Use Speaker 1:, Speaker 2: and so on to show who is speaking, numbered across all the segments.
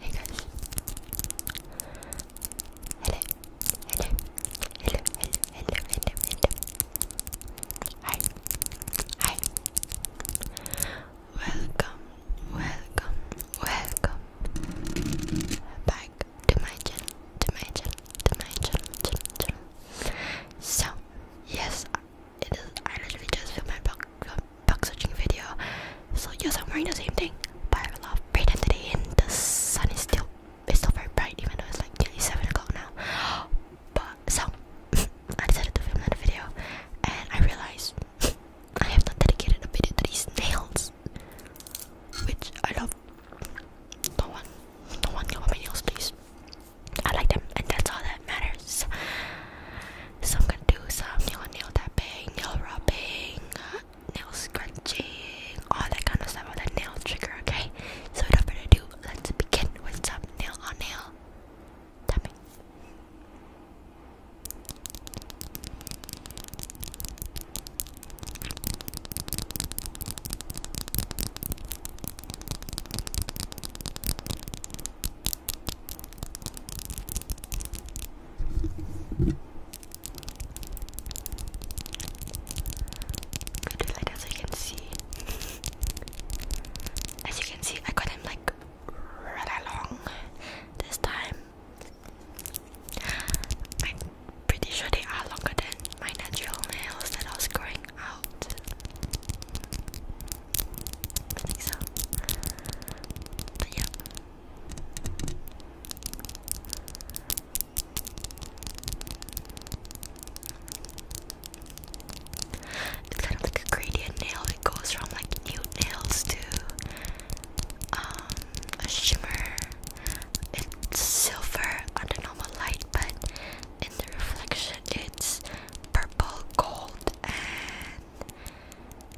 Speaker 1: Hey guys. Hello. Hello. Hello. Hello. Hello. Hello. Hi. Hi. Welcome. Welcome. Welcome. Back to my channel. To my channel. To my channel. channel, channel. So yes, it is I literally just feel my butt bug searching video. So yes, I'm wearing the same thing, but I love a lot of today, and the sun is still it's still very bright, even though it's like nearly seven o'clock now. But so I decided to film another video, and I realized I have not dedicated a video to these nails, which I love. No one, no one, no one, my nails, please. I like them, and that's all that matters. So I'm gonna do some nail, nail tapping, nail rubbing, nail scratching, all that kind of stuff, with that nail trigger, okay? So without further ado, let's begin with some nail on nail tapping like as you can see. as you can see I got him like rather long this time. I'm pretty sure they are longer than my natural nails that I growing out. It's kind of like a gradient nail. It goes from like nude nails to um, a shimmer. It's silver under normal light, but in the reflection, it's purple, gold, and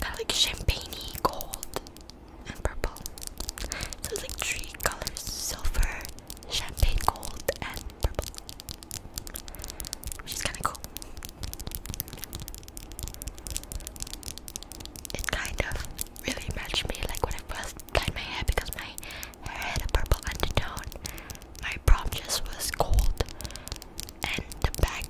Speaker 1: Kind of like champagne gold, and purple. So it's like three colors silver, champagne gold, and purple. Which is kind of cool. It kind of really matched me like when I first dyed my hair because my hair had a purple undertone. My prom dress was gold, and the bag,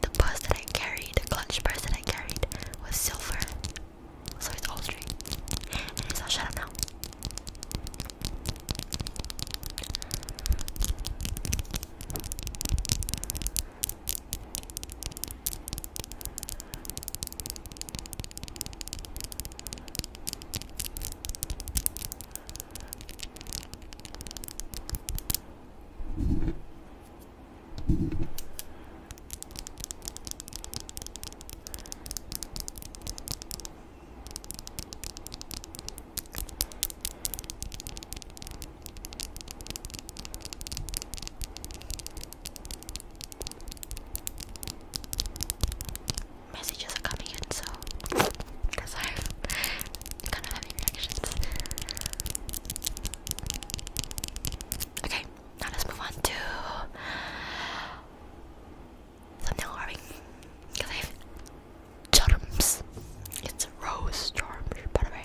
Speaker 1: the purse that I carried, the clutch purse that I carried was silver. So it's all straight. shut up now. Messages are coming in, so because I've Okay, now let's move on to thumbnail carving. Because I have charms. It's a rose charm, by the way.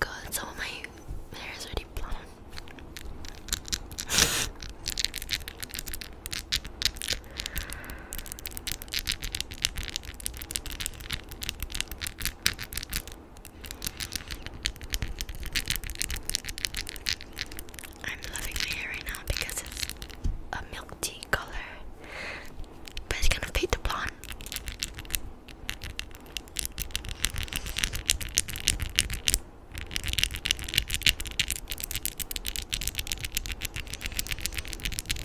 Speaker 1: God, some of my hair is already blown. I'm loving my hair right now because it's a milky color, but it's gonna fade to blonde.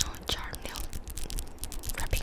Speaker 1: no jar milk wrapping.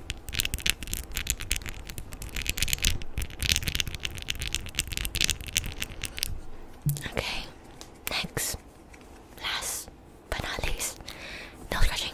Speaker 1: Okay, next, last but not least, nail scratching.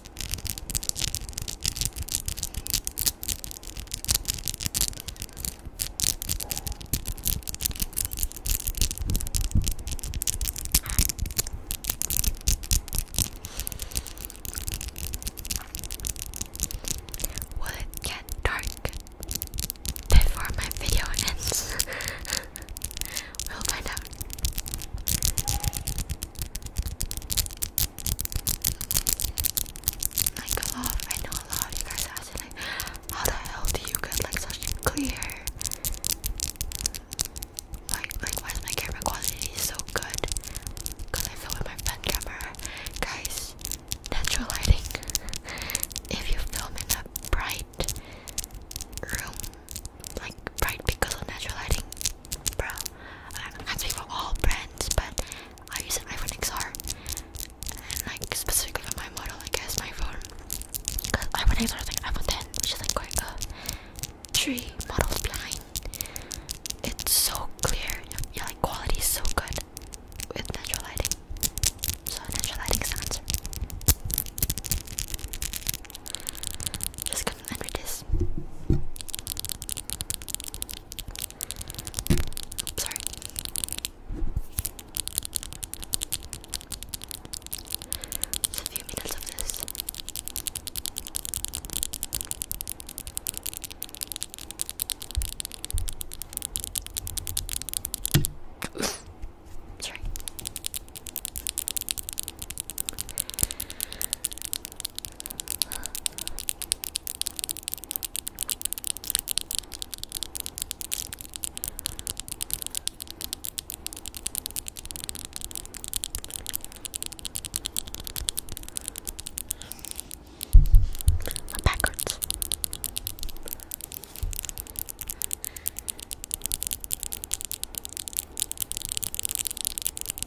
Speaker 1: Will it get dark before my video ends? we'll find out. Like a lot, I know a lot of you guys asked like, how the hell do you get like such clear? Like, like why is my camera quality so good? Cause I film with my front camera, guys. Natural lighting. if you film in a bright room, like bright because of natural lighting, bruh, um, I can't speak for all brands, but I use an iPhone XR, and like specifically for my model, I guess my phone. Cause iPhone XR is like iPhone 10, which is like quite a three models behind. It's so clear, yeah, like quality is so good with natural lighting. So natural lighting is an good gonna this. sorry. It's a few minutes of this. Sorry. My back hurts.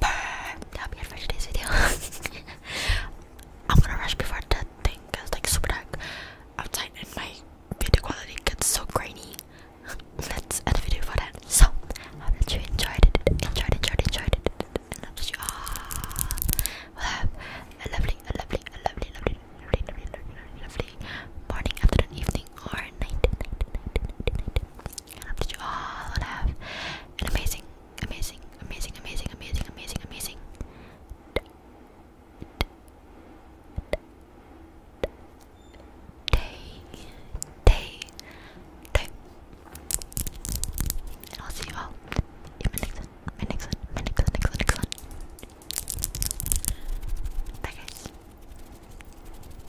Speaker 1: But that'll be it for today's video. I'm gonna rush before the thing gets like super dark outside and my video quality gets so grainy. Let's end the video for that. So I hope that you enjoyed it, enjoyed, enjoyed, enjoyed it, and I hope that you all will have a lovely, a lovely, a lovely, lovely, lovely, lovely, lovely, lovely morning, afternoon, evening, or night, night, night, night, night, night. And I hope that you all will have an amazing, amazing, amazing, amazing, amazing, amazing, amazing day, day, day. And I'll see you all in my next one, my next one, my next one, next one, next one. Bye guys.